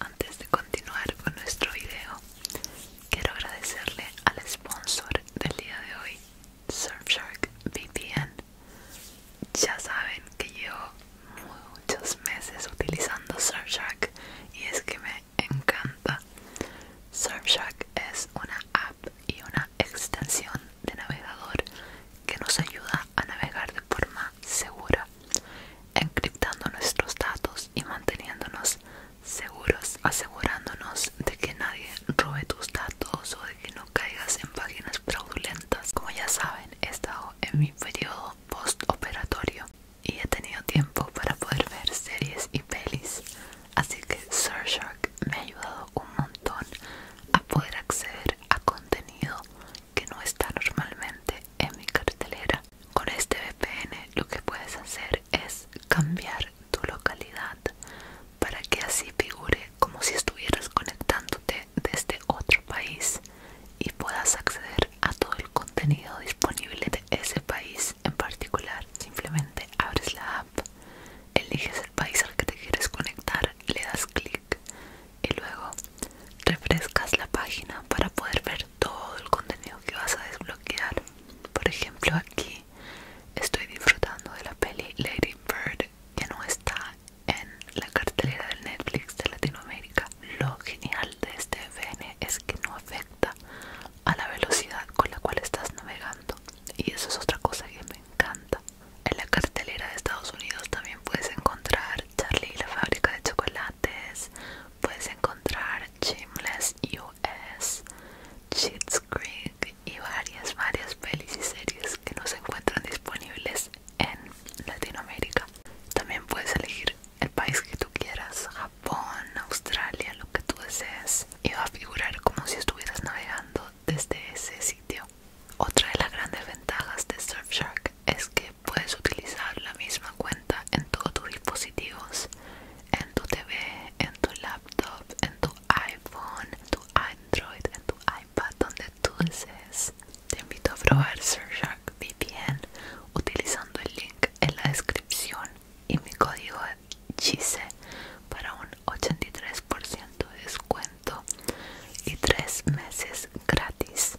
Antes de continuar con nuestro video, quiero agradecerle al sponsor del día de hoy, Surfshark VPN. Ya saben que llevo muchos meses utilizando Surfshark y es que me encanta. Surfshark es una app y una extensión de navegador que nos ayuda a navegar de forma segura encriptando nuestros datos y manteniéndonos seguros, asegurándonos de que nadie robe tus datos o de que no caigas en páginas fraudulentas. Como ya saben, he estado en mi periodo postoperatorio y he tenido tiempo para poder ver series y pelis, así que Surfshark me ha ayudado un montón a poder acceder a contenido que no está normalmente en mi cartelera. Con este VPN lo que puedes hacer es cambiar tu localidad para que así figure como si estuvieras conectándote desde otro país y puedas acceder a todo el contenido disponible de ese país en particular. Simplemente abres la app, eliges el país al que te quieres conectar, le das clic y luego refrescas la página para poder ver todo el contenido que vas a desbloquear. Por ejemplo, aquí estoy disfrutando de la peli Lady Bird que no está en la cartelera del Netflix de Latinoamérica. Lo genial de este FN es que no afecta a la velocidad con la cual estás navegando y eso es otra cosa que me encanta. En la cartelera de Estados Unidos también puedes encontrar Charlie y la fábrica de chocolates, puedes encontrar Chimless US, Cheats Creek y varias, varias pelis y series que no se encuentran disponibles en Latinoamérica. También puedes elegir el país que tú quieras, Japón, Australia, lo que tú desees, y va a figurar como si estuvieras navegando desde ese sitio. Otra de las grandes ventajas de Surfshark es que puedes utilizar la misma cuenta en todos tus dispositivos, en tu TV, en tu laptop, en tu iPhone, en tu Android, en tu iPad, donde tú desees. Te invito a probar Surfshark VPN utilizando el link en la descripción y mi código GC para un 83% de descuento y 3 meses gratis.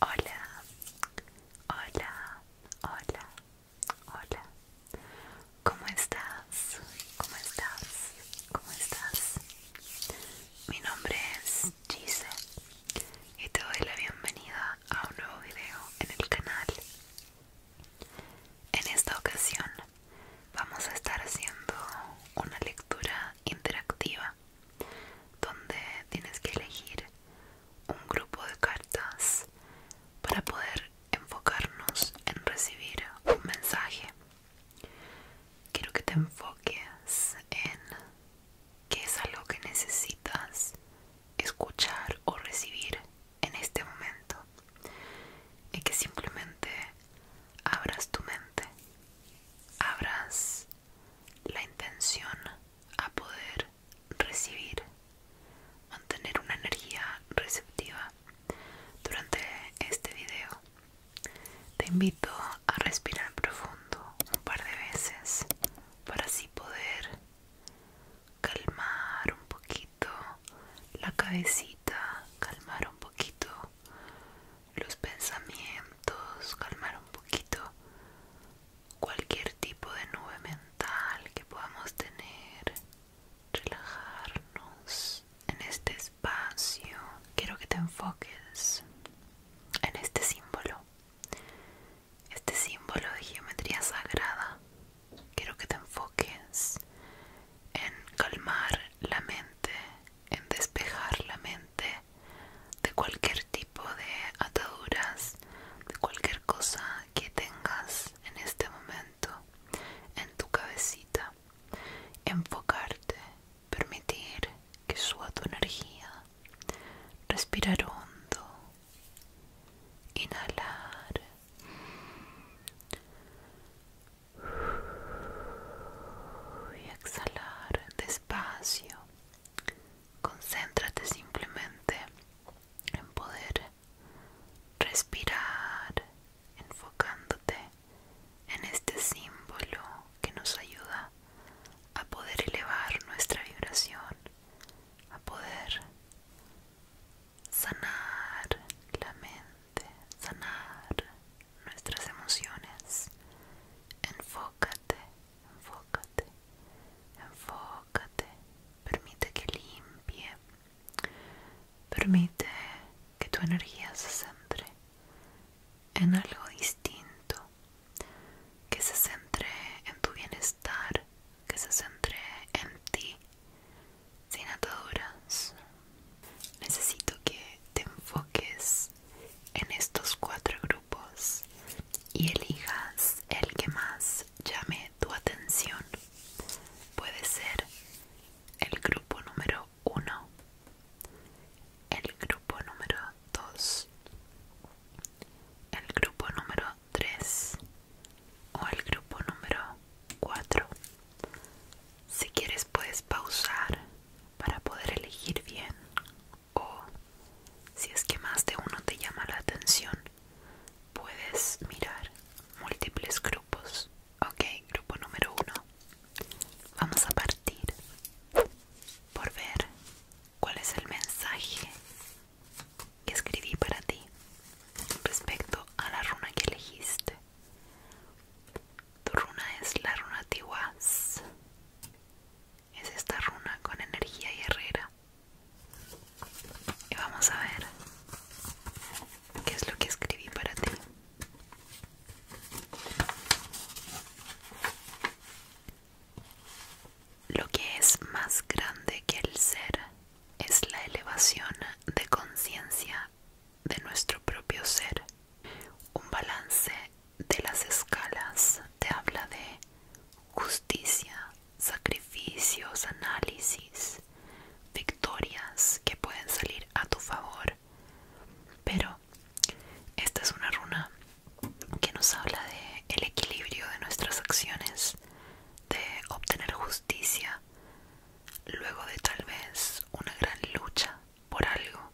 Hola, hola, hola, hola. ¿Cómo estás? ¿Cómo estás? ¿Cómo estás? Mi nombre es Gise y te doy la bienvenida a un nuevo video en el canal. En esta ocasión vamos a estar haciendo una lectura interactiva donde tienes que elegir un grupo de cartas para poder enfocarnos en recibir un mensaje. Quiero que te enfoques en qué es algo que necesitas escuchar o recibir en este momento y que simplemente abras tu mente, abras la intención a poder recibir, mantener una energía receptiva durante este video. Te invito a respirar profundo un par de veces para así poder calmar un poquito la cabecita, calmar un poquito los pensamientos, calmar un poquito cualquier tipo de nube mental que podamos tener, relajarnos en este espacio. Quiero que te enfoques en este símbolo, este símbolo de geometría sagrada. Quiero que te enfoques en calmar la mente, en despejar la mente de cualquier tipo de ataduras, de cualquier cosa que tengas en este momento en tu cabecita. Enfocarte, permitir que suba tu energía, respirar hondo, inhalar. Y exhalar despacio Concéntrate simplemente en poder respirar enfocándote en este símbolo que nos ayuda a poder elevar nuestra vibración, a poder sanar la mente, sanar nuestras emociones. Enfócate enfócate, enfócate, permite que limpie, permite que tu energía se centre en algo distinto, que se centre en tu bienestar, que se centre en ti, sin ataduras. Necesito que te enfoques en estos cuatro grupos y elijas el que más llame tu atención. Puede ser el grupo número uno, el grupo número dos, el grupo número tres o el grupo número cuatro. Si quieres puedes pausar para poder elegir bien o si es que más de uno te llama la atención, puedes mirar múltiples grupos. Ok, grupo número uno. Vamos a partir por ver cuál es el mensaje que escribí para ti respecto a la runa que elegiste. Tu runa es la runa Tiwaz es esta runa con energía y herrera y vamos a ver qué es lo que escribí para ti lo que es más grande que el ser es la elevación de conciencia de nuestro propio ser, un balance de las escalas te habla de justicia, sacrificios, análisis, victorias que pueden salir a tu favor. Pero esta es una runa que nos habla de el equilibrio de nuestras acciones, de obtener justicia luego de tal vez una gran lucha por algo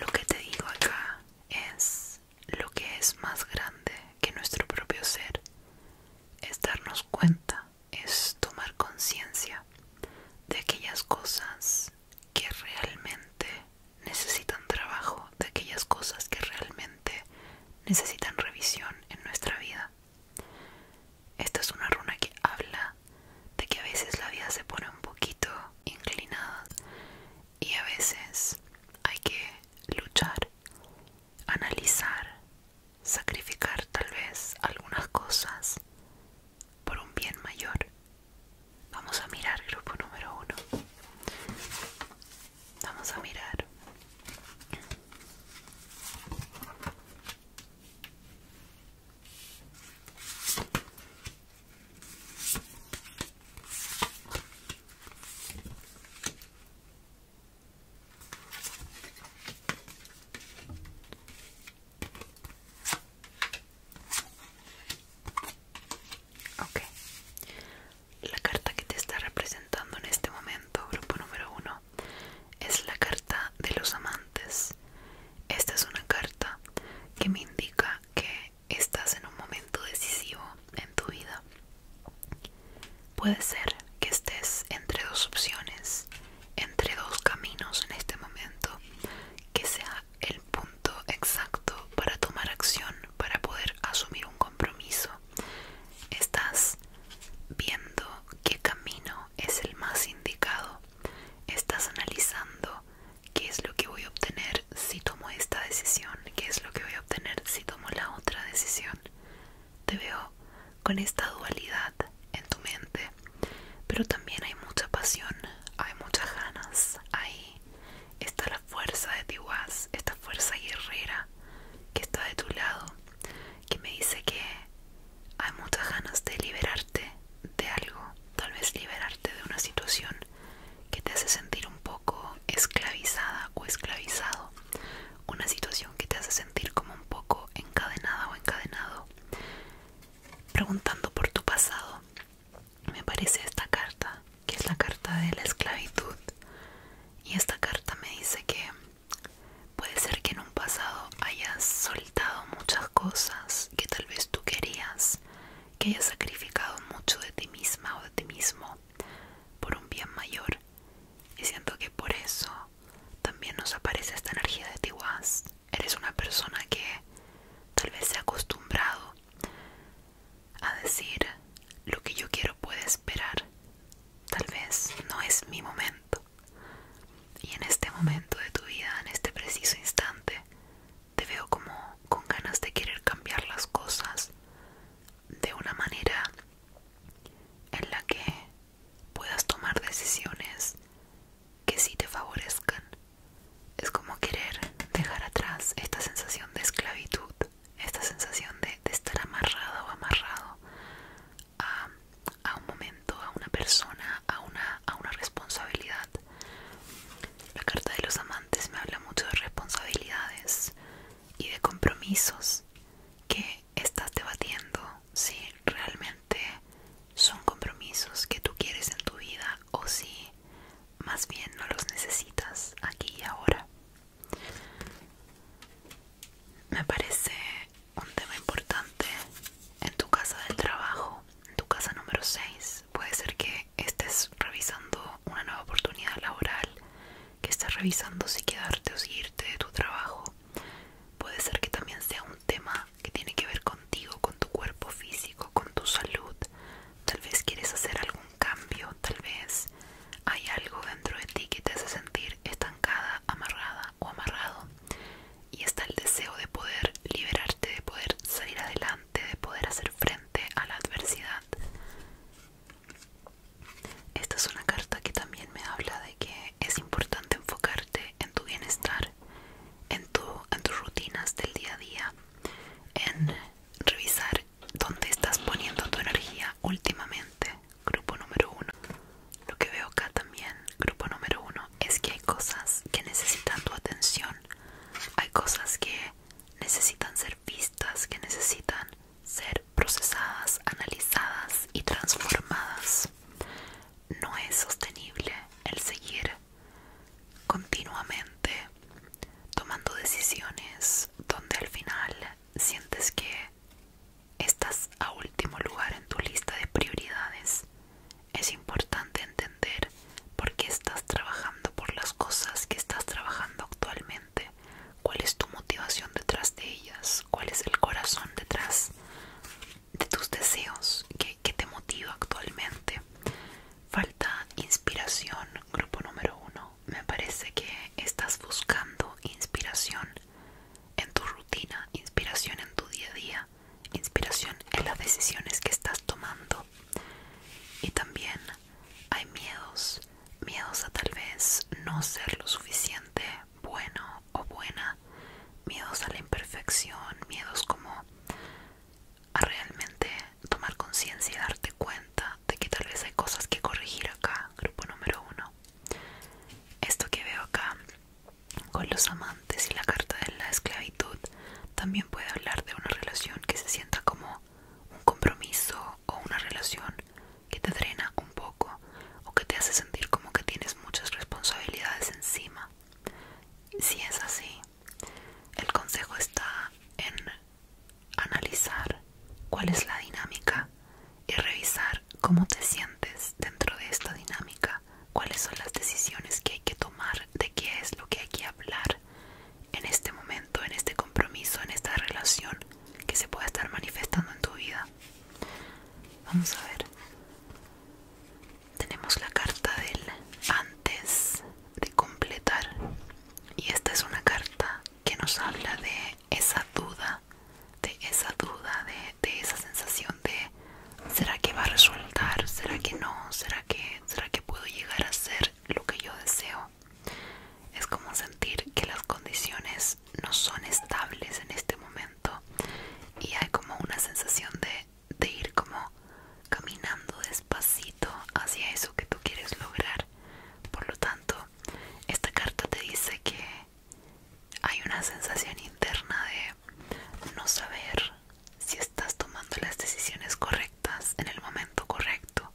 lo que te digo acá es lo que es más grande que nuestro propio ser. Es darnos cuenta, es tomar conciencia de aquellas cosas que realmente necesitan trabajo, de aquellas cosas que realmente necesitan revisión en nuestra vida. Esta es una runa que habla de que a veces la vida se pone un poquito inclinada y a veces hay que luchar, analizar, sacrificar tal vez algunas cosas por un bien mayor. Vamos a mirar grupo número uno. Vamos a mirar. Ok, la carta que te está representando en este momento, grupo número uno, es la carta de los amantes. Esta es una carta que me indica que estás en un momento decisivo en tu vida. Puede ser que estés entre dos opciones, entre dos caminos en este momento, que sea el punto exacto para tomar acción, para poder asumir un compromiso. Estás viendo qué camino es el más indicado. Estás analizando qué es lo que voy a obtener si tomo esta decisión, qué es lo que voy a obtener si tomo la otra decisión. Te veo con esta dualidad en tu mente, pero también hay mucha pasión, hay muchas ganas, ahí está la fuerza de Tiwaz, esta fuerza guerrera que está de tu lado, que me dice que hay muchas ganas de liberarte de algo, tal vez liberarte de una situación que te hace sentir un poco esclavizada o esclavizado, una situación que te hace sentir como un poco encadenada o encadenado. Preguntando por tu pasado, me parece esta carta, que es la carta de la esclavitud. Y esta carta me dice que puede ser que en un pasado hayas soltado muchas cosas que tal vez tú querías que hayas sacrificado mucho de ti misma o de ti mismo por un bien mayor. Y siento que por eso también nos aparece esta energía de Tiwaz. Eres una persona que tal vez se ha acostumbrado a decir lo que yo quiero puede esperar. Tal vez no es mi momento. Y en este momento de tu vida, en este preciso instante, te veo como con ganas de querer cambiar las cosas de una manera en la que puedas tomar decisiones que sí te favorezcan. Es como querer dejar atrás esta sensación de esclavitud, esta sensación de, estar amarrado o amarrado a, un momento, a una persona, a una responsabilidad la carta de los amantes me habla mucho de responsabilidades y de compromisos que estás debatiendo si realmente son compromisos que tú quieres en tu vida o si más bien no los necesitas aquí y ahora. Me parece un tema importante en tu casa del trabajo, en tu casa número 6. Puede ser que estés revisando una nueva oportunidad laboral, que estás revisando si quedarte o si irte de tu trabajo. Puede ser que también sea un tema que tiene que ver contigo, con tu cuerpo físico, con tu salud. Tal vez quieres hacer algún cambio, tal vez hay algo dentro de ti que te hace sentir estancada, amarrada o amarrado. Y está el deseo de poder liberarte, de poder salir adelante de poder hacer frente a la adversidad. Esta es una carta que también me habla de que es importante enfocarte en tu bienestar, en, tu, en tus rutinas del día a día, en revisar dónde estás poniendo tu energía últimamente. Grupo número uno. Lo que veo acá también, grupo número uno, es que hay cosas que necesitan tu atención. Hay cosas que necesitan ser vistas, que necesitan ser procesadas, analizadas y transformadas. No es sostenible el seguir continuamente tomando decisiones donde al final sientes que estás a último lugar en tu lista de prioridades. Es importante entender por qué estás trabajando por las cosas que estás trabajando actualmente, cuál es tu motivación detrás de ellas, cuál es el corazón detrás de tus deseos, Que te motiva actualmente. Falta inspiración, grupo número uno. Me parece que estás buscando inspiración en tu rutina, inspiración en tu día a día, inspiración en las decisiones que estás tomando, y también hay miedos, miedos a tal vez no ser lo suficiente bueno o buena, miedos a la imperfección, miedos como a realmente tomar conciencia y darte cuenta de que tal vez hay cosas que corregir acá, grupo número uno. Esto que veo acá con los amantes y la carta de la esclavitud también puede hablar de una relación que se sienta como un compromiso o una relación que te drena un poco o que te hace sentir como que tienes muchas responsabilidades encima. Si es así, el consejo está en analizar cuál es la dinámica y revisar cómo te sientes dentro de esta dinámica, cuáles son las decisiones que hay que tomar, de qué es lo que hay que hablar en este momento, en este compromiso, en esta relación que se pueda estar manifestando en tu vida. Vamos a ver. Tenemos la carta del antes de completar. Y esta es una carta que nos habla de esa duda, de esa duda, de, de esa sensación de ¿será que va a resultar? ¿Será que no? ¿Será que, será que puedo llegar a ser? lo que yo deseo. Es como sentir que las condiciones no son estables en este momento y hay como una sensación de, ir como caminando despacito hacia eso que tú quieres lograr. Por lo tanto, esta carta te dice que hay una sensación interna de no saber si estás tomando las decisiones correctas en el momento correcto.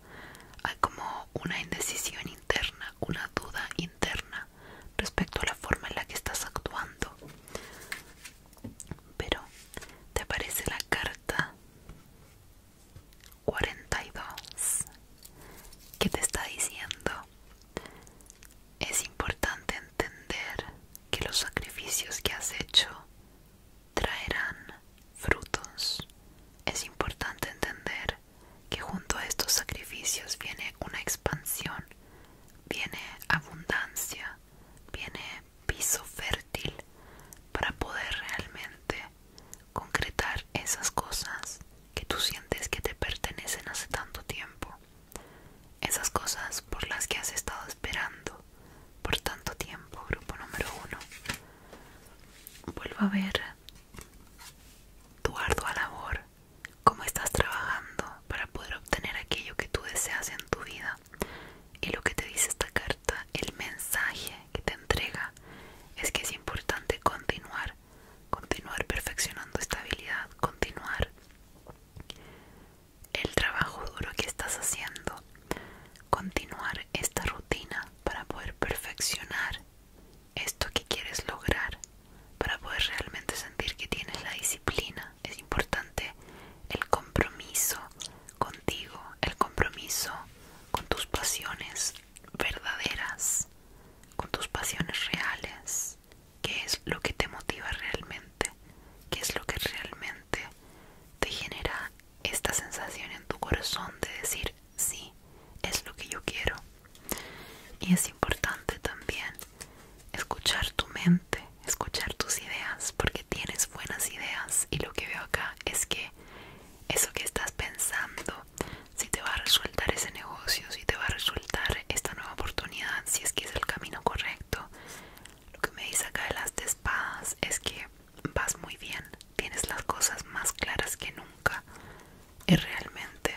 Hay como una indecisión interna, una duda interna respecto a la forma en la que estás actuando. Pero te aparece la carta 42 que te está diciendo es importante entender que los sacrificios que has hecho traerán frutos. Es importante entender que junto a estos sacrificios viene una expansión, viene abundancia, viene piso fértil para poder realmente concretar esas cosas que tú sientes que te pertenecen hace tanto tiempo, esas cosas por las que has estado esperando, por tanto tiempo, grupo número uno. Vuelvo a ver tu ardua labor, cómo estás trabajando para poder obtener aquello que tú deseas en tu vida. Y lo que te dice esta carta, el mensaje que te entrega, es que es importante continuar, continuar perfeccionando esta habilidad, continuar el trabajo duro que estás haciendo, continuar esta rutina para poder perfeccionar esto que quieres lograr, para poder realmente sentir que tienes la disciplina. Es importante el compromiso contigo, el compromiso con tus pasiones verdaderas, con tus pasiones reales. que es lo que te motiva realmente? que es lo que realmente te genera esta sensación en tu corazón de decir sí, es lo que yo quiero. Y es importante también escuchar tu mente, escuchar tus ideas, porque tienes buenas ideas y lo que veo acá es que eso que estás pensando, si te va a resultar ese negocio, si te va a resultar esta nueva oportunidad, si es que es el camino correcto. Lo que me dice acá de las de espadas es que vas muy bien, tienes las cosas más claras que nunca y realmente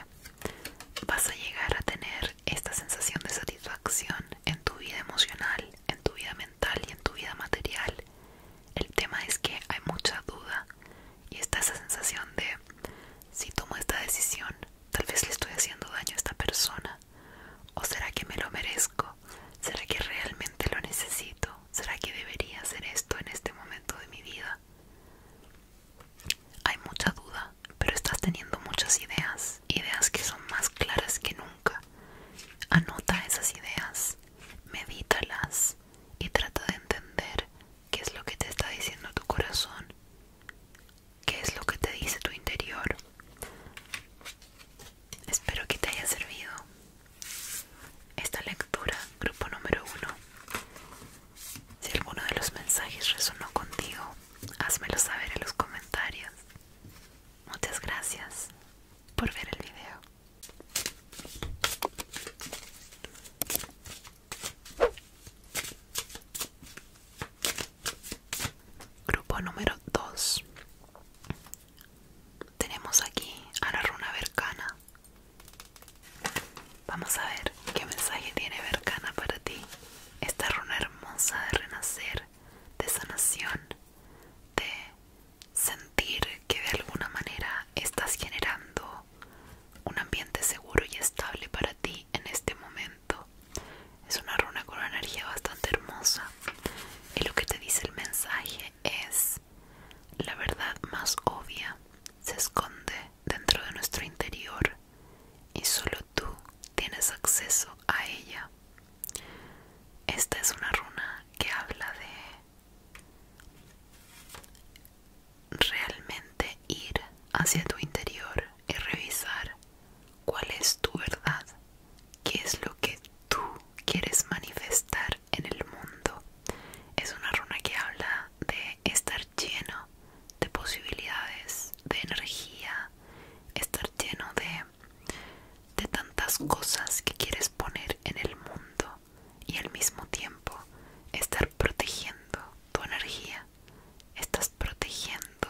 vas a llegar a tener esta sensación de satisfacción en tu vida emocional, en tu vida mental y en tu vida material. El tema es que hay mucha duda y está esa sensación de si tomo esta decisión, tal vez le estoy haciendo daño a esta persona o será que me lo merezco. ¿Será que realmente lo necesito? ¿Será que debería hacer esto en este momento de mi vida? Hay mucha duda, pero estás teniendo muchas ideas, ideas que son más claras que nunca. Anota esas ideas, medítalas y trata de entender qué es lo que te está diciendo tu corazón, qué es lo que te dice tu interior. Espero que te haya servido. Esta lectura, grupo número uno. Si alguno de los mensajes resonó contigo, házmelo saber en los comentarios. Muchas gracias por ver el video. Grupo número 2 tenemos aquí a la runa Vercana. Vamos a ver qué mensaje tiene Vercana para ti. Esta runa hermosa de renacer, de sanación, de sentir que de alguna manera estás generando un ambiente seguro y estable para ti en este momento. Es una runa con una energía bastante hermosa. Y lo que te dice el mensaje es la verdad más obvia, se esconde dentro de nuestro interior y solo tú tienes acceso a ella. Esta es una runa que habla de realmente ir hacia tu interior y revisar cuál es tu verdad qué es lo que tú quieres manifestar en el mundo. Es una runa que habla de estar lleno de posibilidades, de energía, estar lleno de, tantas cosas que quieres poner en el mundo y al mismo tiempo estar protegiendo tu energía. Estás protegiendo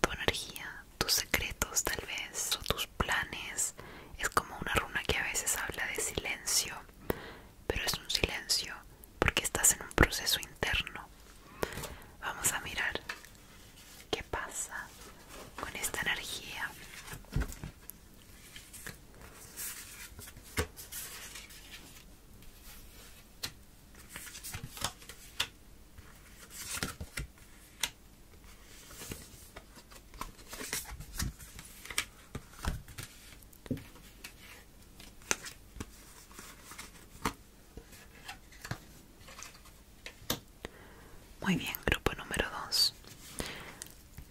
tu energía tus secretos tal vez o tus planes. Es como una runa que a veces habla de silencio, pero es un silencio porque estás en un proceso interno. Vamos a mirar qué pasa con esta energía. Muy bien, grupo número 2.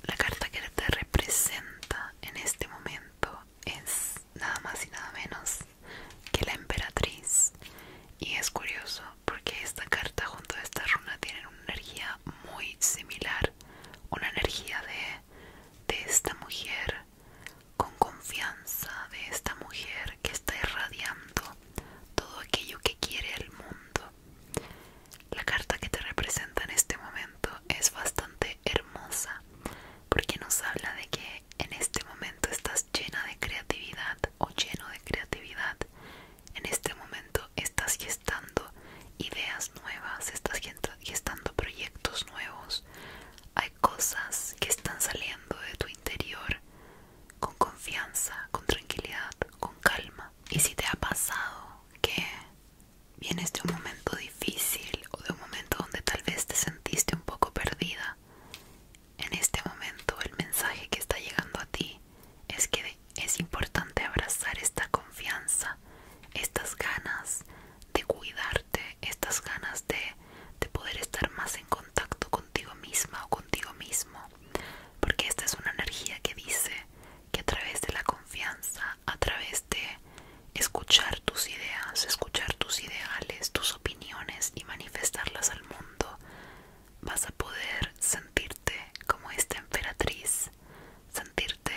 La carta que te representa en este momento es nada más y nada menos que la emperatriz. Y es curioso porque esta carta junto a esta runa tienen una energía muy similar, una energía de, de esta mujer con confianza, de esta mujer que está irradiando todo aquello que quiere el mundo. La carta que te representa en este momento es bastante hermosa porque nos habla de que en este momento estás llena de creatividad o lleno de creatividad en este momento estás gestando ideas nuevas, estás gestando proyectos nuevos. Hay cosas que están saliendo de tu interior con confianza, con tranquilidad, con calma. Y si te ha pasado que vienes de un momento difícil o de un momento donde tal vez te sentiste un poco perdida, en este momento el mensaje que está llegando a ti es que es importante abrazar esta confianza, estas ganas de cuidarte, estas ganas de, de poder estar más en contacto contigo misma o contigo mismo, porque esta es una energía que dice que a través de la confianza, a través de escuchar tus ideas, escuchar tus ideales, tus opiniones y manifestarlas al mundo, vas a poder sentirte como esta emperatriz, sentirte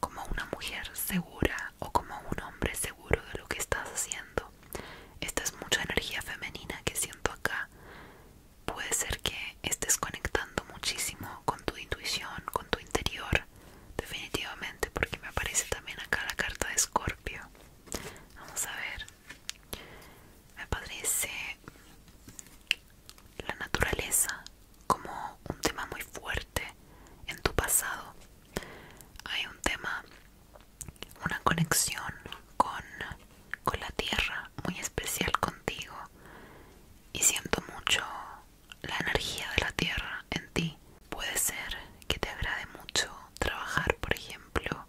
como una mujer segura o como un hombre seguro de lo que estás haciendo. Esta es mucha energía femenina que siento acá. Puede ser que estés conectando muchísimo con tu intuición, con tu interior, definitivamente, porque me aparece también acá la carta de Escorpio. Vamos a ver. Me parece la naturaleza como un tema muy fuerte en tu pasado. Hay un tema, una conexión con, con la tierra muy especial contigo y siento mucho la energía de la tierra en ti. Puede ser que te agrade mucho trabajar, por ejemplo,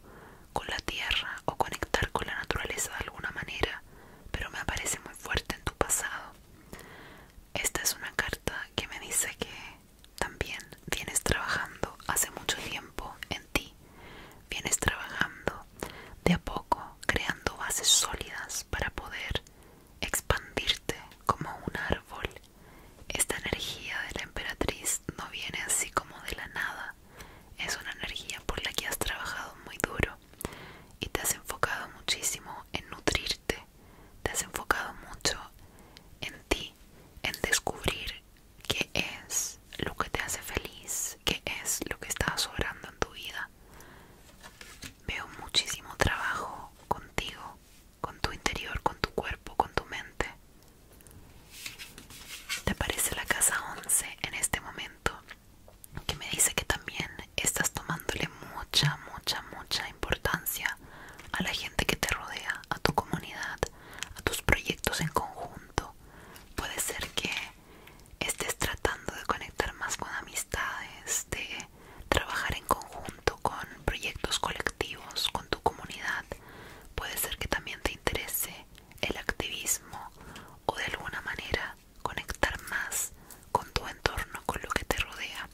con la tierra o conectar con la naturaleza de alguna manera, pero me aparece muy fuerte en tu pasado. Esta es una carta que me dice que también vienes trabajando hace mucho tiempo en ti, vienes trabajando de a poco, creando bases sólidas para poder expandirte como un árbol. Esta energía de la emperatriz no viene así como de la nada, es una energía por la que has trabajado muy duro y te has enfocado muchísimo en nutrirte, te has enfocado mucho en ti, en descubrir qué es lo que te hace feliz, qué es lo que está sobrando en tu vida. Veo muchísimo trabajo contigo, con tu interior, con tu cuerpo, con tu mente. ¿Te parece la casa 11 en este momento? que me dice que también estás tomándole mucha, mucha, mucha importancia a la gente que te rodea, a tu comunidad, a tus proyectos en conjunto. Puede ser que estés tratando de conectar más con amistades, de trabajar en conjunto con proyectos colectivos, con tu comunidad. Puede ser que también te interese el activismo o de alguna manera conectar más con tu entorno, con lo que te rodea.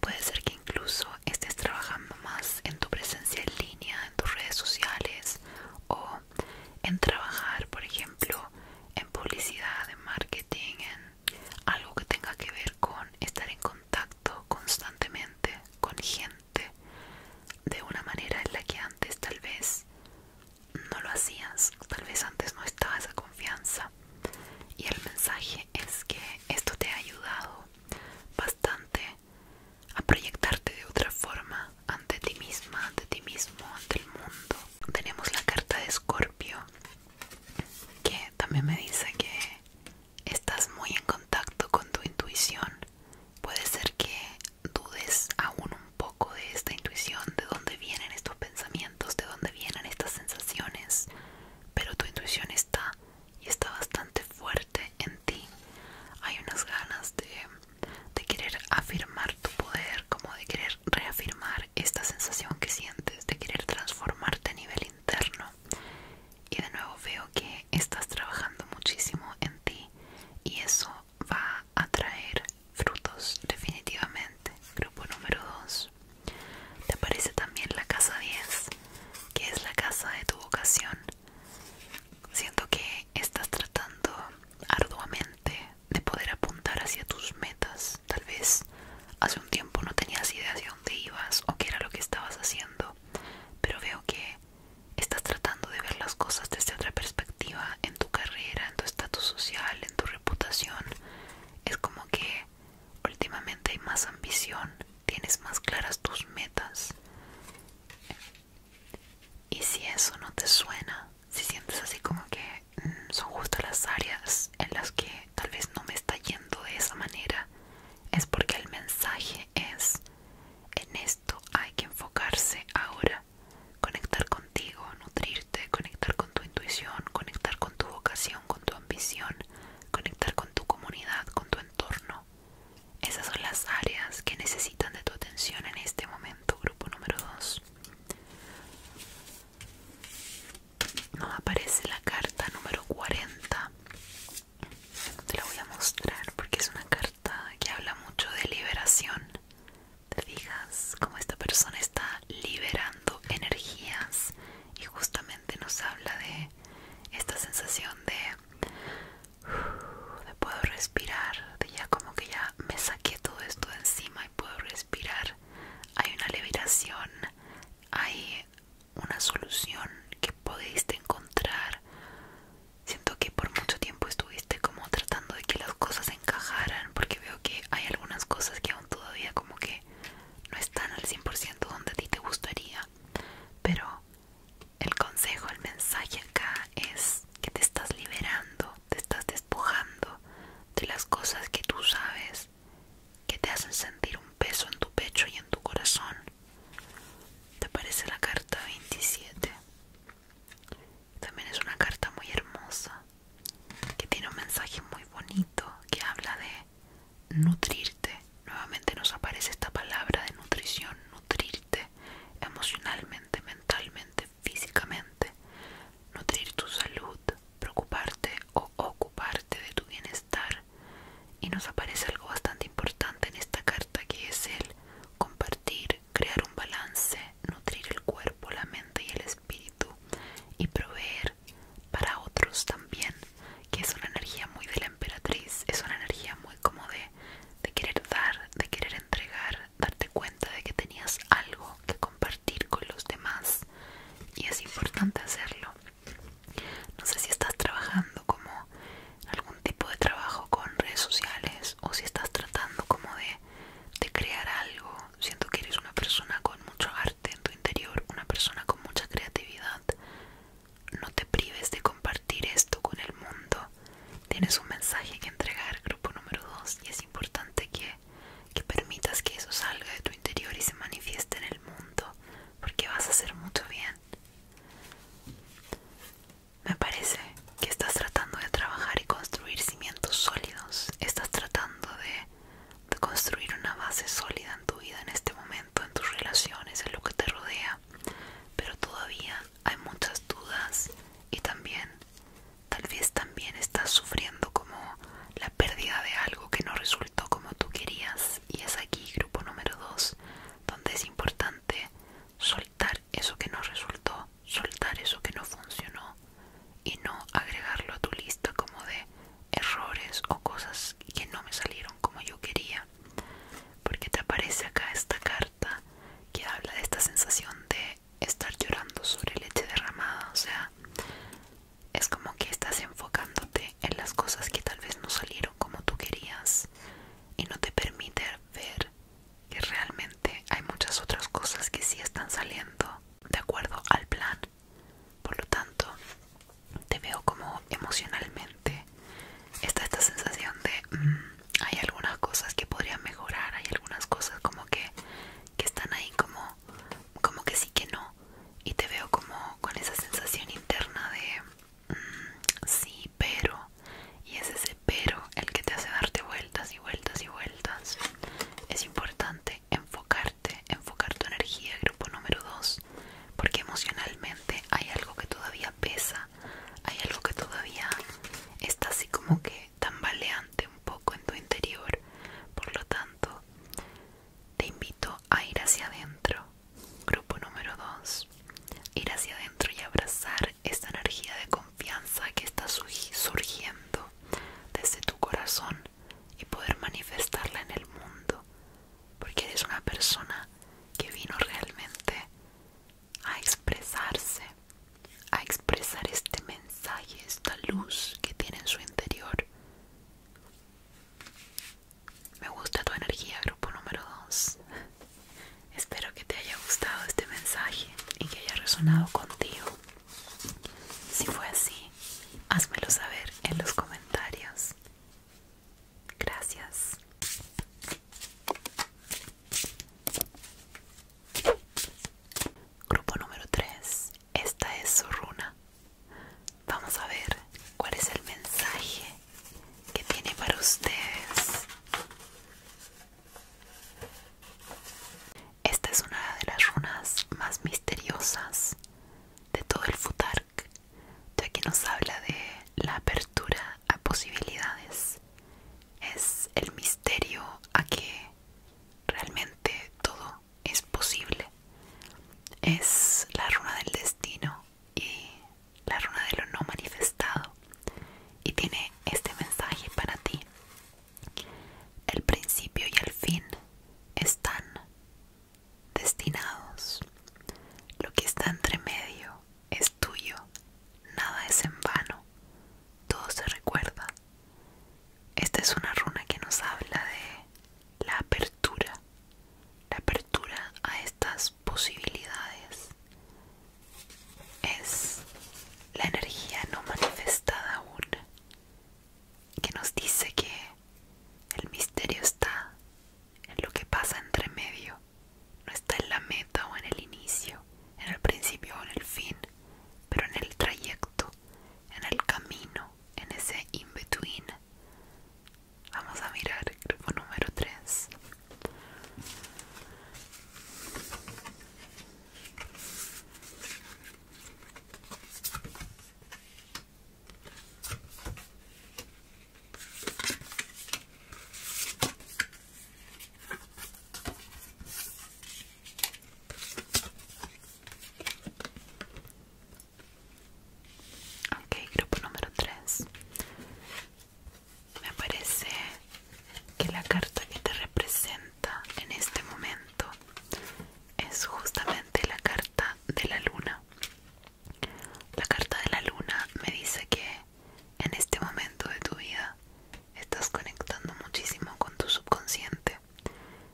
Puede ser que incluso estés trabajando más en tu presencia en línea, en tus redes sociales o en trabajar, por ejemplo, en publicidad, en marketing, en algo que tenga que ver con estar en contacto constantemente con gente de una manera en la que antes tal vez no lo hacías, tal vez antes no estaba esa confianza. Y el mensaje es que esto te ha ayudado bastante a proyectarte de otra forma ante ti misma, ante ti mismo, ante el mundo. Tenemos la carta de Escorpio que también me dice que estás muy en contacto con tu intuición. Puede ser que dudes aún un poco de esta intuición, de dónde vienen estos pensamientos, de dónde vienen estas sensaciones, pero tu intuición está y está bastante fuerte en ti. Hay unas ganas de, de querer afirmar tu poder, como de querer reafirmar esta sensación que sientes, de querer transformarte a nivel interno. Y de nuevo veo que estás trabajando muchísimo en ti y eso va a traer frutos definitivamente. Grupo número 2. Te aparece también la casa 10, que es la casa de tu vocación. Siento que estás tratando arduamente de poder apuntar hacia tus metas. Tal vez hace un tiempo no tenías idea hacia dónde ibas o qué era lo que estabas haciendo, pero veo que estás tratando de ver las cosas desde otra perspectiva en tu carrera, en tu estatus social, en tu reputación. Es como que últimamente hay más ambición, tienes más claras tus metas. Y si eso no te suena, si sientes así como que mm, son justo las áreas en las que tal vez no me está yendo de esa manera, es porque el mensaje es, en esto hay que enfocarse ahora conectar contigo, nutrirte, conectar con tu intuición, conectar con tu vocación, con tu ambición, conectar con tu comunidad, con tu entorno. Esas son las áreas que necesitan de tu atención en este momento, grupo número 2. Nos aparece la carta número 40. Te la voy a mostrar porque es una carta que habla mucho de liberación, ¿Te fijas cómo esta persona está liberando energías y justamente nos habla de esta sensación de, de puedo respirar, de ya como que ya me saqué todo esto de encima y puedo respirar? Hay una liberación, hay una solución que podéis encontrar Siento que por mucho tiempo estuviste como tratando de que las cosas encajaran porque veo que hay algunas cosas que aún todavía como que no están al 100% donde a ti te gustaría. Pero el consejo, el mensaje acá es que te estás liberando, te estás despojando de las cosas que tú sabes que te hacen sentir un peso en tu pecho y en tu corazón. Te parece la carta 27. También es una carta muy hermosa, que tiene un mensaje muy bonito, que habla de nutrirte. Nuevamente nos aparece esta palabra de nutrición, nutrirte emocionalmente, mentalmente, físicamente, nutrir tu salud, preocuparte o ocuparte de tu bienestar. Y nos aparece algo bastante importante en esta carta que es el compartir, crear un balance, nutrir el cuerpo, la mente y el espíritu y proveer para otros también, que es una energía muy de la emperatriz, es una energía muy como de, de querer dar, de querer entregar, darte cuenta de que tenías algo que compartir con los demás y es importante hacerlo. No sé si estás trabajando como algún tipo de trabajo con redes sociales o si estás tratando como de de crear algo. Siento que eres una persona con mucho arte en tu interior, una persona con mucha creatividad. No te prives de compartir esto con el mundo. Tienes un mensaje que entregar, grupo número 2, y es importante que, que permitas que eso salga de tu interior y se manifieste en el mundo, porque vas a hacer mucho bien. Me parece que estás tratando de trabajar y construir cimientos sólidos. Estás tratando de, construir una base sólida en tu vida en este momento, en tus relaciones, en lo que te rodea. Pero todavía hay muchas dudas y también, tal vez también estás sufriendo como la pérdida de algo que no resultó como tú querías. Y es aquí, grupo número 2, donde es importante soltar eso que no resultó, soltar eso que no funcionó y no agregarlo a tu lista como de errores o cosas que no me salieron como yo quería. Porque te aparece acá esta carta que habla de esta sensación de estar llorando sobre leche derramada, o sea, es como que estás enfocándote en las cosas que tal vez no salieron como tú querías y no te permite ver que realmente hay muchas otras cosas que sí están saliendo de acuerdo al plan. Por lo tanto, te veo como emocionalmente está esta sensación de mm, hay algunas cosas que podrían mejorar, hay algunas cosas como que, que están ahí como, como que sí que no. Y te veo como con esa sensación interna de mm, sí, pero y es ese pero el que te hace darte vueltas y vueltas y vueltas. Es importante enfocarte, enfocar tu energía, grupo número 2, porque emocionalmente hay algo que todavía pesa, hay algo que todavía está así como que tambaleante un poco en tu interior. Por lo tanto, te invito a ir hacia adentro. Grupo número 2. Ir hacia adentro y abrazar esta energía de confianza que está surgiendo desde tu corazón y poder manifestarla en el mundo, porque eres una persona que vino realmente a expresarse, a expresar este mensaje, esta luz que tiene en su interior. Me gusta tu energía, grupo número 2. Espero que te haya gustado este mensaje y que haya resonado contigo. Si fue así, házmelo saber en los comentarios. Gracias. Grupo número 3. Esta es su runa. Vamos a ver cuál es el mensaje que tiene para ustedes. Esta es una de las runas más misteriosas de todo el Futark, ya que nos habla de la apertura a posibilidades. Es el misterio a que realmente todo es posible. Es la runa del destino y la runa de lo no manifestado y tiene este mensaje para ti el principio y el fin están destinados. Lo que está entre medio es tuyo. Nada es en vano. Todo se recuerda. Esta es una runa que nos habla de la apertura. La apertura a estas posibilidades es la energía no manifestada aún que nos dice que el misterio está en lo que pasa entre medio, no está en la meta o en el inicio, en el principio o en el fin, pero en el trayecto, en el camino, en ese in-between. Vamos a mirar el grupo número 3. Ok, grupo número 3. Me parece que la carta que te representa en este momento es justamente la carta de la luna. La carta de la luna me dice que en este momento de tu vida estás conectando muchísimo con tu subconsciente.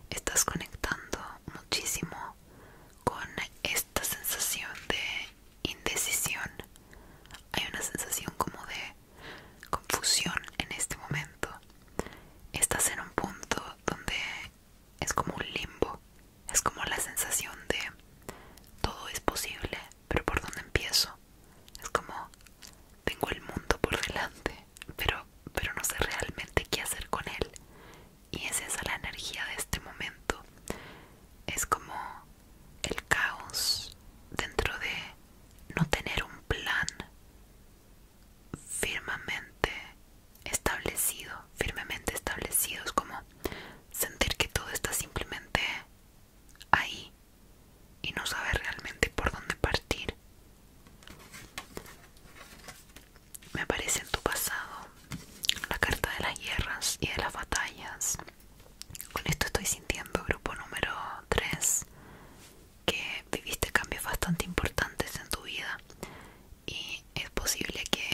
Estás conectando muchísimo con esta sensación de indecisión. Hay una sensación como de confusión en este momento. Estás en un punto donde es como un limbo, es como la sensación de todo es posible, pero ¿por dónde empiezo? Es como tengo el mundo por delante, pero, pero no sé realmente qué hacer con él. Y esa es la energía de este momento. Es como el caos dentro de no tener un plan firmemente establecido, firmemente establecido, es como sentir que todo está simplemente ahí y no saber realmente por dónde partir. Me aparece en tu pasado la carta de las guerras y de las batallas. Con esto estoy sintiendo grupo número 3 que viviste cambios bastante importantes en tu vida y es posible que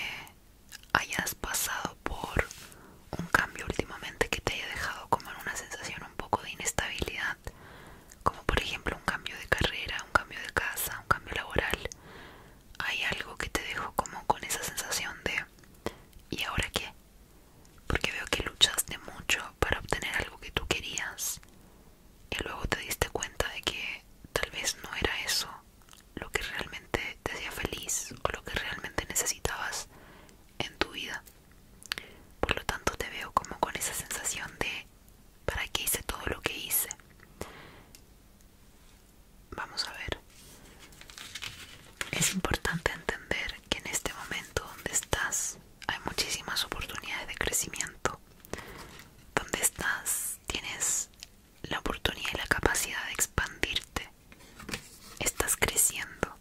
hayas pasado por un cambio últimamente que te haya dejado como en una sensación un poco de inestabilidad, como por ejemplo un cambio de carrera, un cambio de casa, un cambio laboral. Hay algo que te dejó como con esa sensación de ¿y ahora qué? porque veo que luchaste mucho para obtener algo que tú querías y luego te diste cuenta de que tal vez no era eso lo que realmente te hacía feliz o lo que realmente necesitabas en tu vida. Por lo tanto te veo como con esa sensación de ¿para qué hice todo lo que hice? Vamos a ver. Es importante entender que en este momento donde estás hay muchísimas oportunidades de crecimiento. Donde estás tienes la oportunidad y la capacidad de expandirte. Estás creciendo.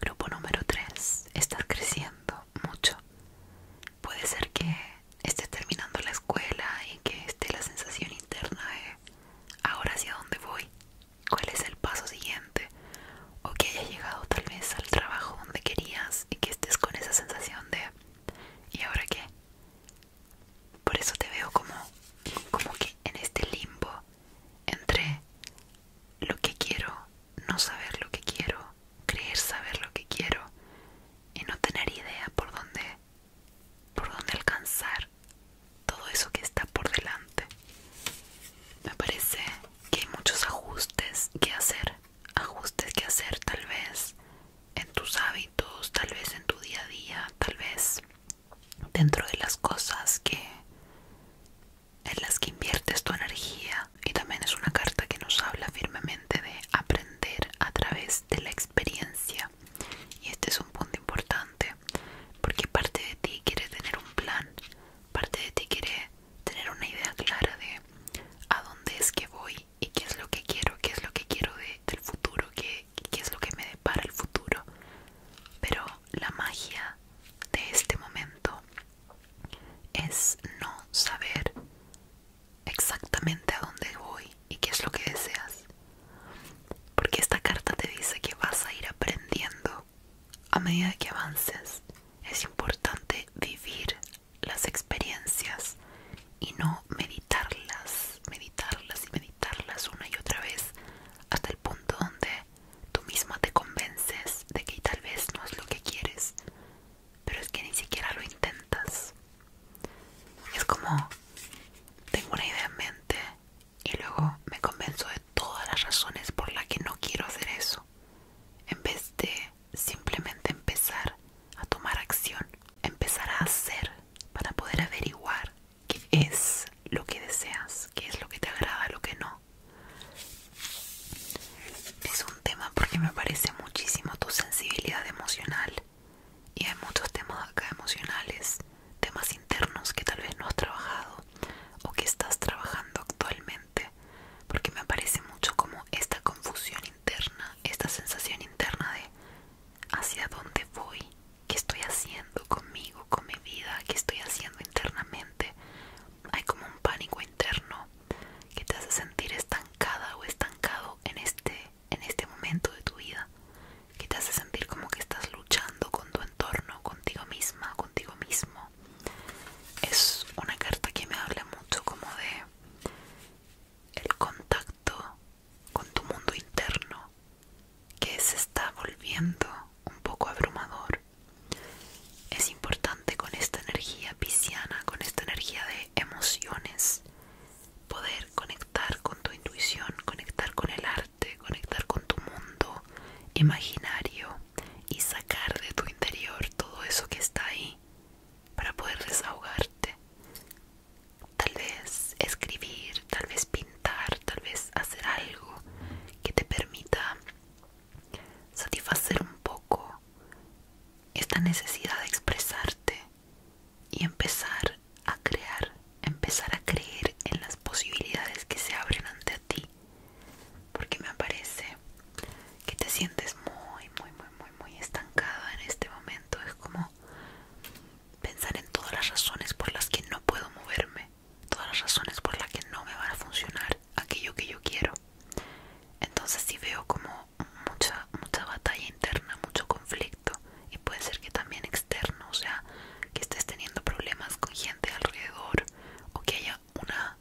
Grupo número 3. Estás creciendo mucho. Puede ser que estés terminando la escuela y que esté la sensación interna de ahora hacia dónde voy. ¿Cuál es el paso siguiente? o que hayas llegado tal vez al trabajo donde querías y que estés con esa sensación de ¿y ahora qué? Por eso te veo como, como que en este limbo entre lo que quiero, no saber lo que quiero, creer saber lo que quiero y no tener idea por dónde, por dónde alcanzar todo eso que está por delante. Me parece que hay muchos ajustes que hacer, ajustes que hacer tal vez en tus hábitos, tal vez en tu día a día, tal vez dentro de las cosas que en las que inviertes tu energía y también es una carta que nos habla firmemente de aprender a través de la experiencia y este es un punto importante porque parte de ti quiere tener un plan parte de ti quiere tener una idea clara de a dónde es que voy y qué es lo que quiero, qué es lo que quiero del futuro, qué es lo que me depara el futuro. Pero la magia de este momento es no saber exactamente a dónde voy y qué es lo que deseas. Porque esta carta te dice que vas a ir aprendiendo a medida que avances, es importante vivir las experiencias y no meditarlas, meditarlas y meditarlas una y otra vez hasta el punto donde tú misma te convences de que tal vez no es lo que quieres, pero es que ni siquiera lo intentas. Es como, tengo una idea en mente y luego me convenzo de todas las razones por las que no quiero hacer eso en vez de simplemente empezar a tomar acción, empezar a hacer para poder averiguar qué es lo que deseas, qué es lo que te agrada, lo que no. Es un tema porque me parece muchísimo tu sensibilidad emocional y hay muchos temas acá emocionales, temas internos que tal vez no has trabajado o que estás trabajando actualmente porque me aparece mucho como esta confusión interna, esta sensación interna de hacia dónde voy, qué estoy haciendo conmigo, con mi vida, qué estoy haciendo internamente. Hay como un pánico interno que te hace sentir estancada o estancado en este, en este momento de tu vida, que te hace sentir como que estás luchando con tu entorno, contigo misma, contigo mismo es una carta que me habla mucho como de el contacto con tu mundo interno que se está volviendo un poco abrumador es importante con esta energía pisciana con esta energía de emociones poder conectar con tu intuición conectar con el arte conectar con tu mundo imaginario y sacar de tu interior todo eso que está ahí para poder desahogarte. Tal vez escribir, tal vez pintar, tal vez hacer algo que te permita satisfacer un poco esta necesidad de expresarte y empezar a crear, empezar a creer en las posibilidades que se abren ante porque me parece que te sientes muy muy muy muy muy estancada en este momento es como pensar en todas las razones por las que no puedo moverme todas las razones por las que no me van a funcionar aquello que yo quiero entonces si veo como mucha mucha batalla interna mucho conflicto y puede ser que también externo o sea que estés teniendo problemas con gente alrededor o que haya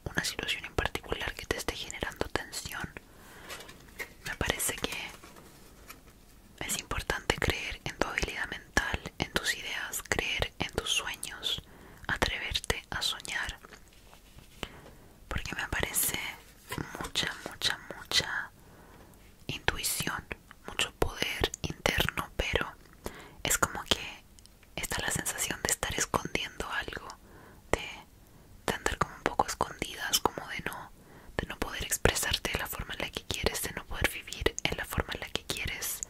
una situación en particular que te esté generando tensión, me parece que es importante creer en tu habilidad mental, en tus ideas, creer en tus sueños, atreverte a soñar, porque me parece mucha, mucha, mucha intuición, mucho poder interno, pero es como que está la sensación de estar escondiendo algo, de, tanto andar como un poco escondidas, como de no, de no poder expresarte de la forma en la que quieres, de no poder vivir en la forma en la que quieres.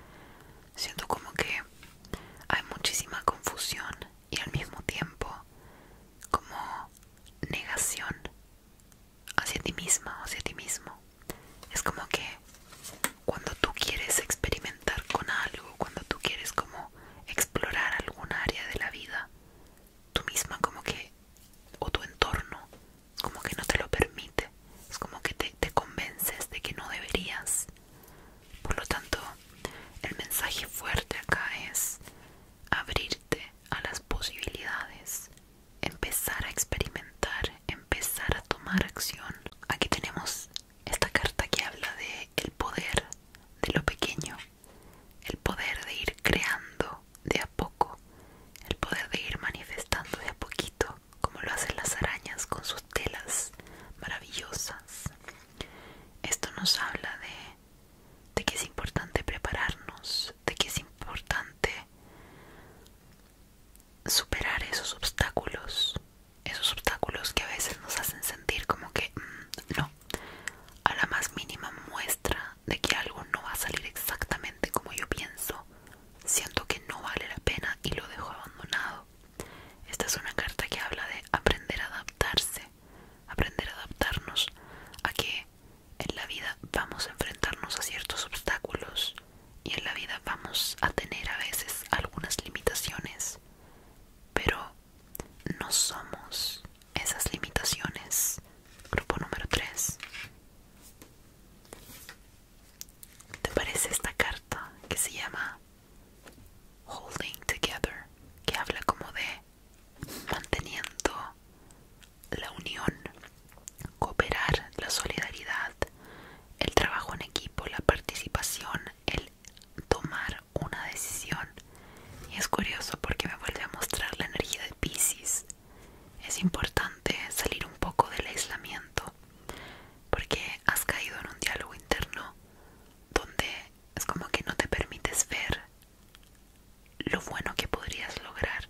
Siento como que hay muchísima confusión y al mismo tiempo como negación hacia ti misma o hacia ti mismo. Es como que cuando tú quieres experimentar con algo, cuando tú quieres como explorar algún área de la vida, tú misma como que, o tu entorno, como que no te lo permite, es como que te, te convences de que no deberías. Por lo tanto, el mensaje fuerte acá es abrirte a las posibilidades, empezar a experimentar, empezar a tomar acción. Aquí tenemos esta carta que habla de el poder de lo pequeño, el poder de ir creando de a poco, el poder de ir manifestando de a poquito, como lo hacen las arañas con sus telas maravillosas. Esto nos habla de, de que es importante prepararnos, de que es importante superar esos obstáculos esos obstáculos que a veces nos hacen sentir como que mm, no, a la más mínima muestra de que algo no va a salir exactamente como yo pienso, siento que no vale la pena y lo dejo abandonado. Esta es una carta que habla de aprender a adaptarse, aprender a adaptarnos a que en la vida vamos a enfrentarnos a ciertos obstáculos y en la vida vamos a tener a veces algunas limitaciones pero no somos esas limitaciones. Grupo número 3. ¿Te parece esta carta que se llama Holding Together? Que habla como de manteniendo la unión, cooperar, la solidaridad, el trabajo en equipo, la participación, el tomar una decisión. Y es curioso porque me vuelve a mostrar la energía de Pisces. Es importante salir un poco del aislamiento porque has caído en un diálogo interno donde es como que no te permites ver lo bueno que podrías lograr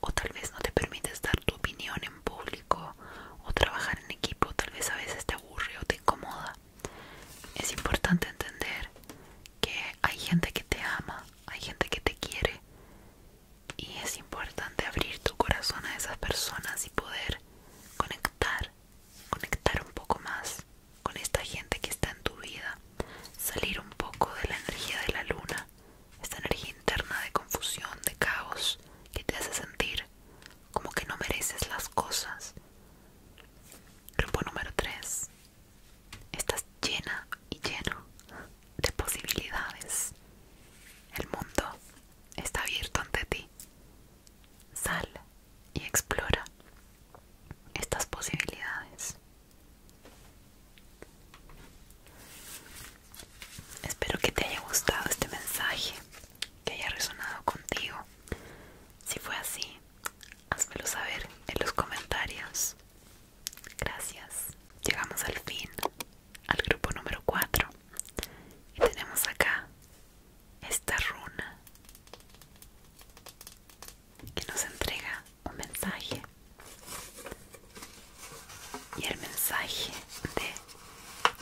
o tal vez no te permites dar tu opinión en público o trabajar en equipo, tal vez a veces te aburre o te incomoda es importante entender que hay gente que te ama, hay gente que te quiere y es importante abrir tu corazón a esas personas y poder conectar, conectar un poco más con esta gente que está en tu vida, salir un poco de la energía de la luna, esta energía interna de confusión, de caos que te hace sentir como que no mereces las cosas. Grupo número 3. Estás llena y lleno de posibilidades. El mundo está abierto ante ti. Sal y explora estas posibilidades. Espero que te haya gustado este mensaje que haya resonado contigo. Si fue así, házmelo saber en los comentarios. Gracias. Llegamos al fin, al grupo número 4. Y tenemos acá esta runa que nos entrega un mensaje. Y el mensaje de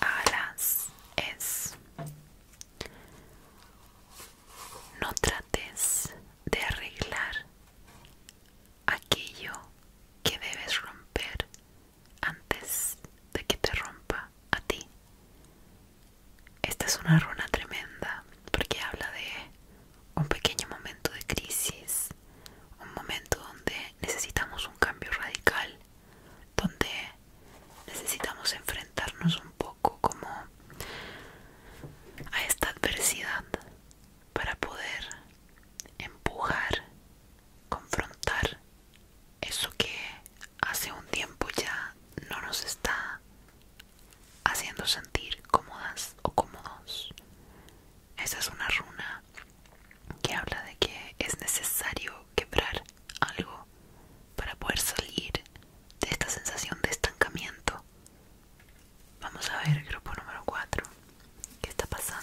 alas es no trates de arreglar aquello que debes romper antes de que te rompa a ti. Esta es una runa tremenda porque habla de un pequeño momento de crisis, un momento donde necesitamos un cambio radical donde necesitamos enfrentarnos un poco como a esta adversidad para poder empujar, confrontar eso que hace un tiempo ya no nos está haciendo sentir cómodas o cómodos. Esa es una runa que habla de que es necesario quebrar algo para poder salir de esta sensación de estancamiento. Vamos a ver grupo número 4. ¿Qué está pasando?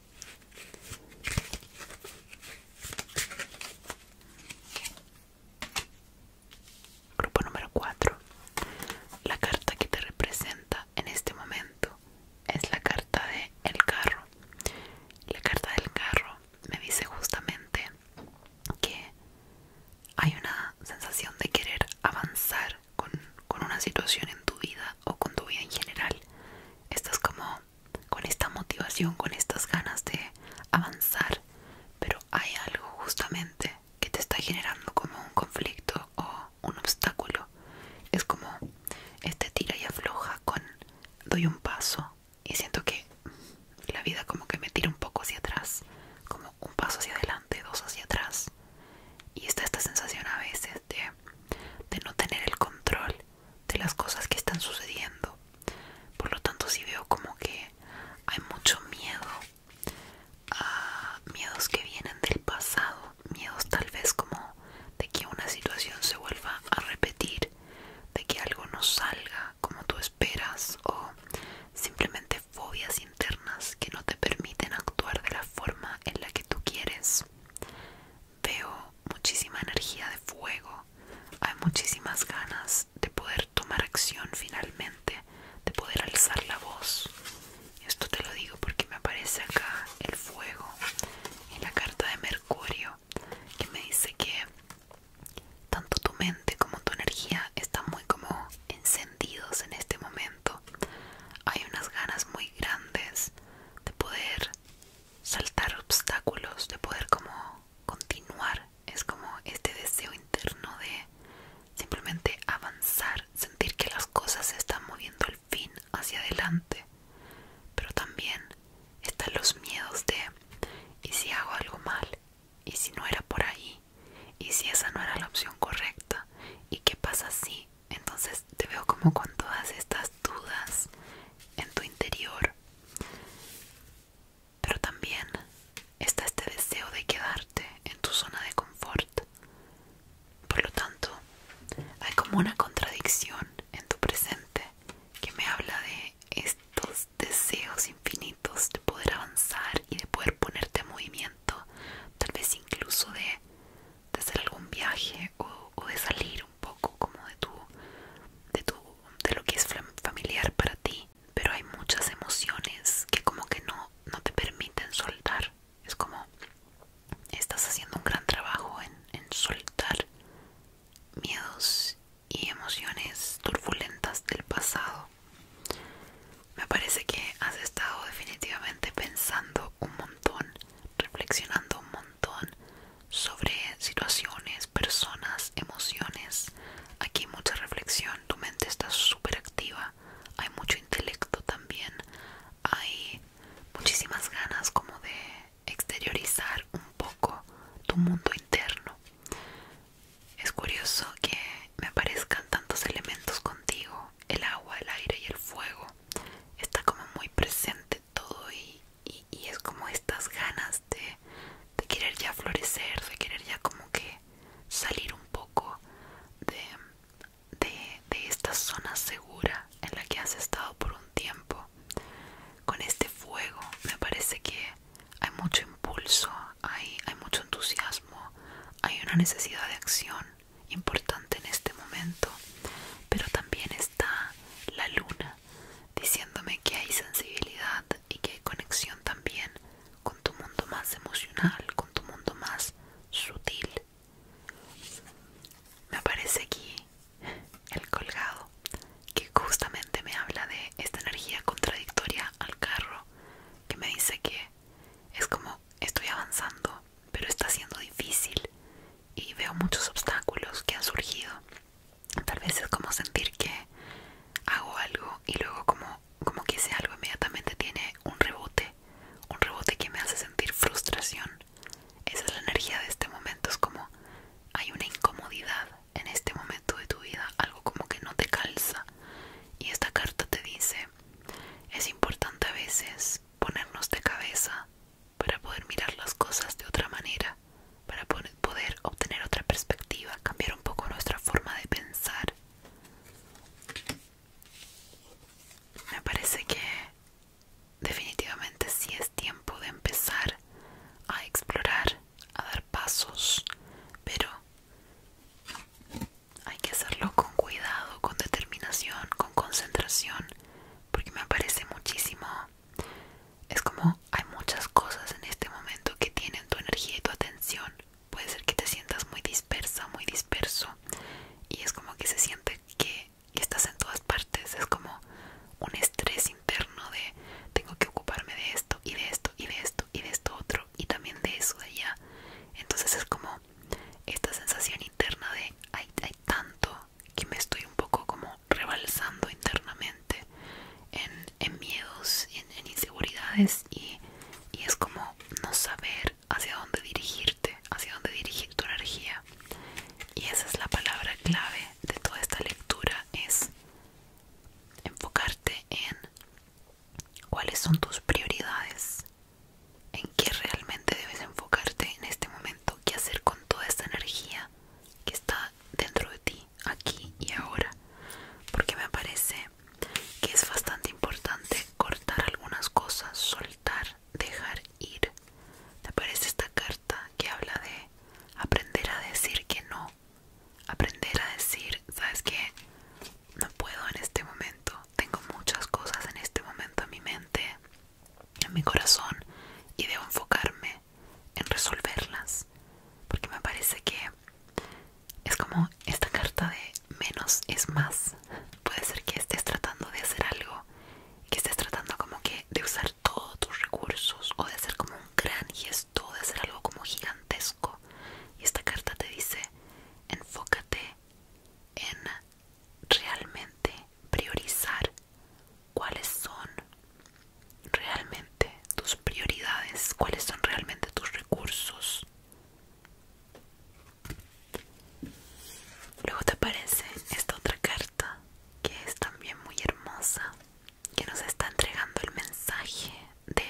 Grupo número 4. La carta que te representa en este momento es la carta de el carro. La carta del carro me dice justamente que hay una sensación de querer avanzar con, con una situación en tu vida o con tu vida en general. es como con esta motivación, con estas ganas de avanzar, pero hay algo justamente que te está generando como un conflicto o un obstáculo. Es como este tira y afloja con doy un paso y siento que la vida como que me tira un poco hacia atrás, como un paso hacia adelante, dos hacia atrás. Y está esta sensación a veces de, de no tener el control de las cosas que están sucediendo. Por lo tanto, si veo como que hay mucho miedo, a miedos que vienen del pasado, miedos tal vez como de que una situación se vuelva a repetir, de que algo no salga como tú esperas o simplemente fobias internas que no te permiten actuar de la forma en la que tú quieres veo muchísima energía de fuego, hay muchísimas ganas de poder tomar acción finalmente, de poder alzar la voz. Esto te lo digo porque me aparece acá el fuego en la carta de Mercurio que me dice que tanto tu mente como tu energía están muy como encendidos en este momento. Hay unas ganas muy grandes de poder saltar obstáculos, de poder como continuar. Es como este deseo interno de simplemente avanzar, sentir que las cosas se están moviendo al fin hacia adelante. Pero también están los miedos de, ¿y si hago algo mal? ¿Y si no era por ahí? ¿Y si esa no era la opción correcta? ¿Y qué pasa si? Entonces te veo como con todas estas dudas en tu interior. Pero también está este deseo de quedarte en tu zona de confort. Por lo tanto, hay como una contradicción en tu presente que me habla de estos deseos infinitos de poder avanzar y de poder ponerte en movimiento, tal vez incluso de, de hacer algún viaje o, de salir un poco como de tu, de tu de lo que es familiar para ti pero hay muchas emociones que como que no te permiten soltar es como estás haciendo un gran trabajo en, en soltar miedos y emociones turbulentas del pasado me parece que has estado definitivamente pensando un montón reflexionando un montón sobre situaciones, personas, emociones. Aquí mucha reflexión, tu mente está súper activa, hay mucho intelecto también, hay muchísimas ganas como de exteriorizar un poco tu mundo interno. Es curioso que me aparezcan tantos elementos contigo, el agua, el aire y el fuego. Está como muy presente todo y, es como estas ganas de, querer ya florecer, de querer ya como que salir un poco de, esta zona segura en la que has estado por un tiempo. Con este fuego me parece que hay mucho impulso, hay mucho entusiasmo, hay una necesidad de acción importante en este momento, pero también está la luna, diciéndome que hay sensibilidad y que hay conexión también con tu mundo más emocional, con tu mundo más sutil. Me aparece aquí el colgado, que justamente me habla de esta energía contradictoria al carro, que me dice que es como estoy avanzando, pero está siendo difícil y veo muchos obstáculos que han surgido. Tal vez es como sentir que hago algo y luego como, como que ese algo inmediatamente tiene un rebote, un rebote que me hace sentir frustración. Esa es la energía de este momento, es como hay una incomodidad en este momento de tu vida, algo como que no te calza. Y esta carta te dice, es importante a veces ponernos de cabeza para poder mirar las cosas de otra manera, para poder obtener otra perspectiva, cambiar un poco nuestra forma de pensar. Me parece que definitivamente sí es tiempo de empezar a explorar, a dar pasos, pero hay que hacerlo con cuidado, con determinación, con concentración, porque me parece muchísimo es como hay muchas cosas en este momento que tienen tu energía y tu atención. Puede ser que te sientas muy dispersa, muy disperso. Y es como que se siente que estás en todas partes. Es como un estrés interno de tengo que ocuparme de esto y de esto y de esto y de esto otro y también de eso de allá. Entonces es como esta sensación interna de hay, hay tanto que me estoy un poco como rebalsando internamente en, miedos en, inseguridades y, y es como no saber hacia dónde dirigirte, hacia dónde dirigir tu energía. Y esa es la palabra clave de toda esta lectura, es enfocarte en cuáles son tus prioridades, en qué realmente debes enfocarte en este momento, qué hacer con toda esta energía que está dentro de ti, aquí y ahora, porque me parece que es bastante importante cortar algunas cosas, soltar, dejar ir. ¿Te parece esta carta que habla de aprender a decir que no? Aprender a decir, ¿sabes qué? No puedo en este momento, tengo muchas cosas en este momento en mi mente en mi corazón y debo enfocarme en resolverlas porque me parece que es como esta carta de menos es más puede ser que estés tratando de hacer algo que estés tratando como que de usar todos tus recursos o de hacer como un gran gesto de hacer algo como gigantesco y esta carta te dice enfócate en realmente priorizar cuáles son realmente tus prioridades, cuáles son realmente tus recursos. Luego te aparece esta otra carta que es también muy hermosa, que nos está entregando el mensaje de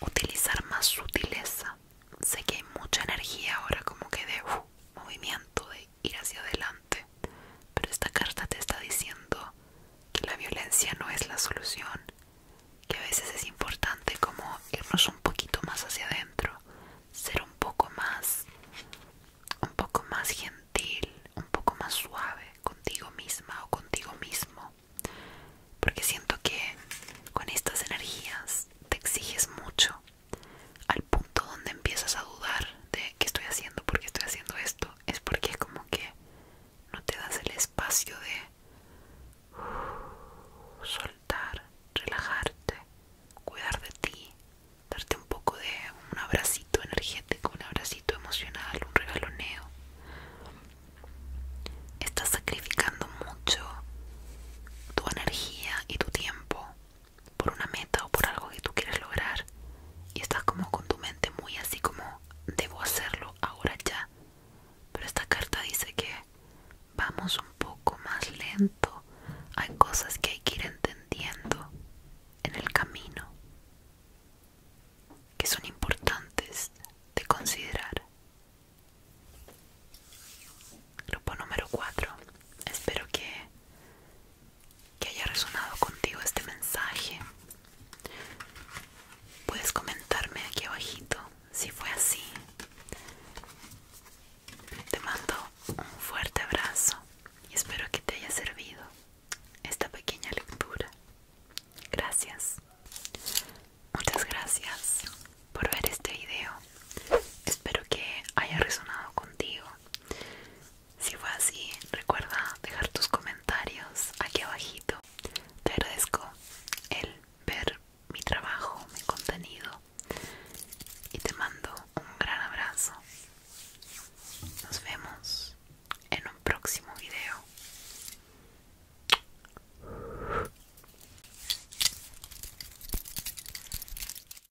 utilizar más sutileza. Sé que hay mucha energía ahora, como que de uh, movimiento, de ir hacia adelante, pero esta carta te está diciendo que la violencia no es la solución, que a veces es importante como irnos un poquito más hacia adentro, ser un poco más, un poco más gentil, un poco más suave contigo misma o contigo mismo, porque siento que con estas energías te exiges mucho al punto donde empiezas a dudar de qué estoy haciendo, por qué estoy haciendo esto, es porque como que no te das el espacio de uh, soltar, relajarte, cuidar de ti, darte un poco de un abracito energético, un abracito emocional, un regaloneo. Estás sacrificando mucho tu energía y tu tiempo por una meta o por algo que tú quieres lograr y estás como con tu mente muy así como debo hacerlo ahora ya. Pero esta carta dice que vamos un poco más lento. Hay cosas que hay que ir entendiendo en el camino que son importantes de considerar. Grupo número 4. Espero que que haya resonado contigo este mensaje. Puedes comentarme aquí abajito si fue así. Te mando un fuerte abrazo y espero que te haya servido esta pequeña lectura. Gracias. Muchas gracias por ver este video. Espero que haya resonado contigo si fue así, recuerda dejar tus comentarios aquí abajito. Te agradezco el ver mi trabajo, mi contenido y te mando un gran abrazo. Nos vemos en un próximo video.